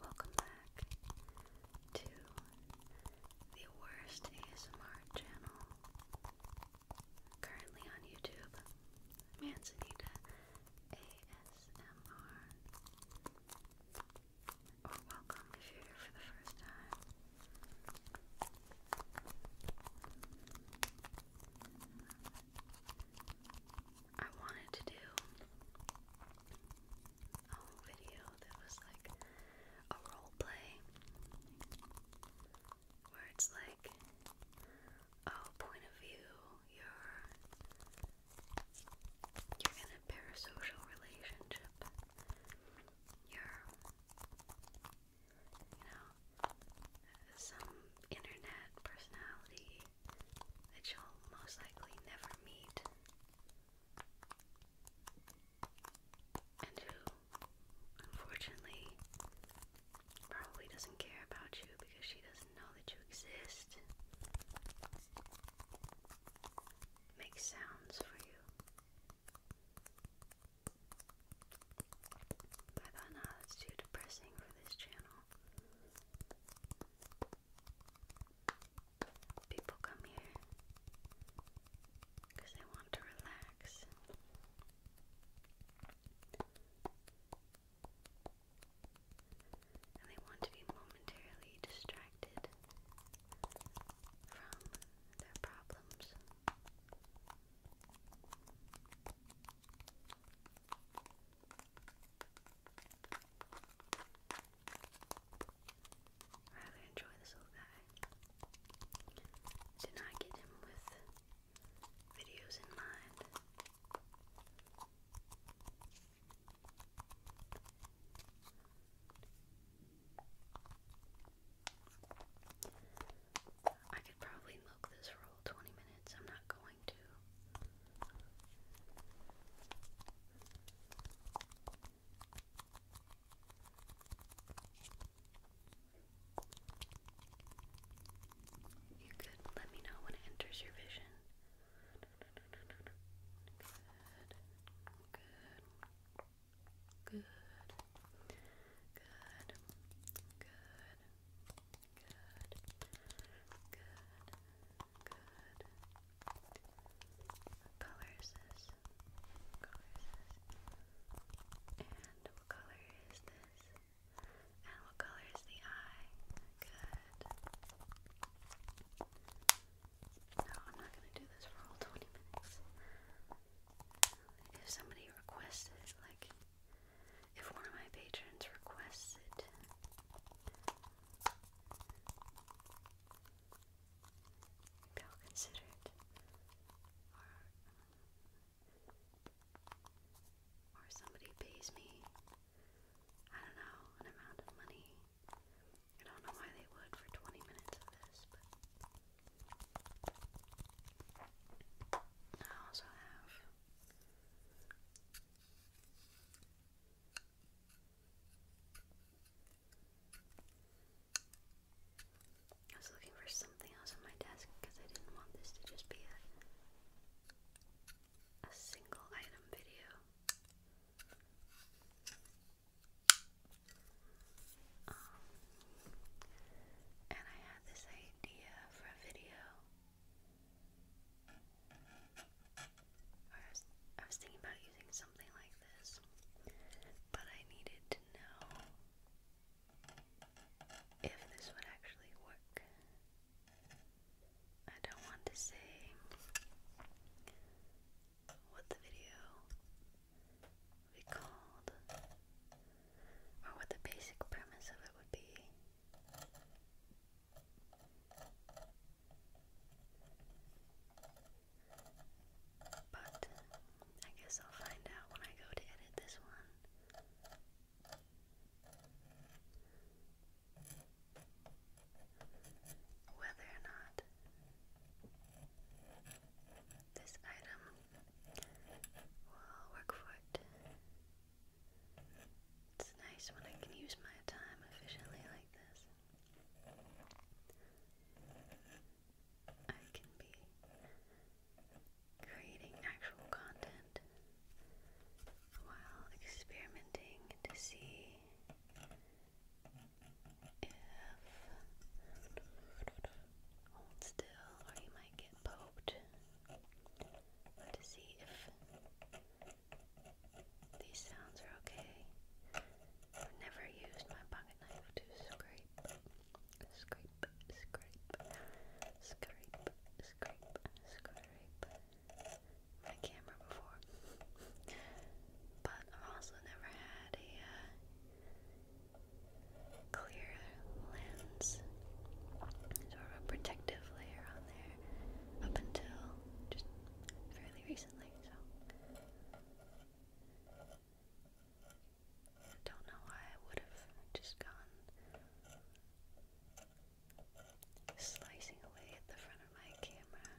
Welcome back to the worst ASMR channel currently on YouTube, Manzanita ASMR. Or welcome if you're here for the first time. I wanted to do a video that was like a role play where it's like oh point of view you're you're in a parasocial relationship you're you know, some internet personality that you'll most likely never meet, and who, unfortunately, probably doesn't care about you because she doesn't know that you exist. Make sounds for you. I thought, nah, that's too depressing for this channel. People come here because they want to relax. And they want to be momentarily distracted from their problems really enjoy this little guy. Did not get him with videos in mind. I could probably milk this for all 20 minutes. I'm not going to. You could let me know when it enters your vision. Good. Good. Good. Good. Good. Good. Good. Good. What color is this? And what color is this? And what color is the eye? Good. No, I'm not gonna do this for all 20 minutes. If somebody requests like, if one of my patrons requests it, maybe Or, or somebody pays me, I don't know, an amount of money. I don't know why they would for 20 minutes of this, but I also have I was looking for something else on my desk because I didn't want this to just be a a single item video. Um, and I had this idea for a video. was, I was thinking about using something like this, but I needed to know if this would actually work. I don't want to say what the video would be called or what the basic premise of it would be. But I guess I'll find out when I go to edit this one whether or not this item will work for it. It's nice when I can use my time efficiently like this. I can be creating actual content while experimenting to see if hold still or you might get poked to see if these sounds are okay. I've never used my pocket knife to scrape, scrape, scrape, scrape, scrape, scrape my camera before. but I've also never had a uh, clear lens, sort a protective layer on there, up until just fairly recently, so. don't know why I would have just gone slicing away at the front of my camera.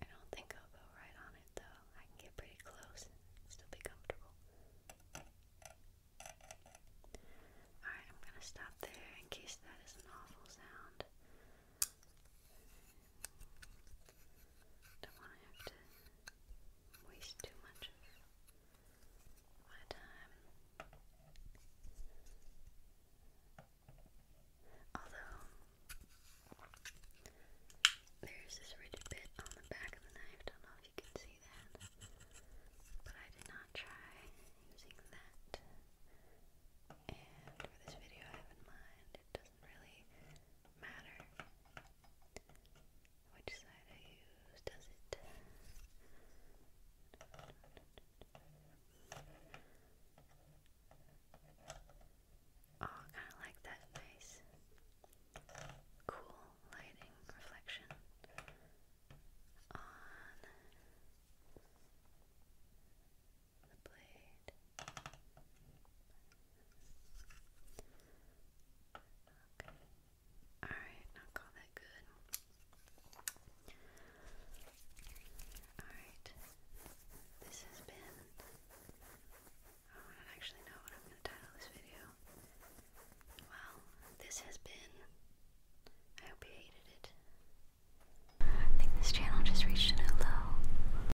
I don't think I'll go right on it though. I can get pretty close still be comfortable. Alright, I'm gonna stop there in case that is an awful sound. Don't want to have to waste too much but um, although there's this rigid bit on the back of the knife, don't know if you can see that. But I did not try using that. And for this video I have in mind it doesn't really matter. Which side I use, does it? Oh, kind of like that nice, cool lighting reflection on the blade. Okay. Alright, now call that good. Alright. This has been I don't actually know what I'm gonna title this video. Well, this has been I hope you hated it. I think this channel just reached a new low.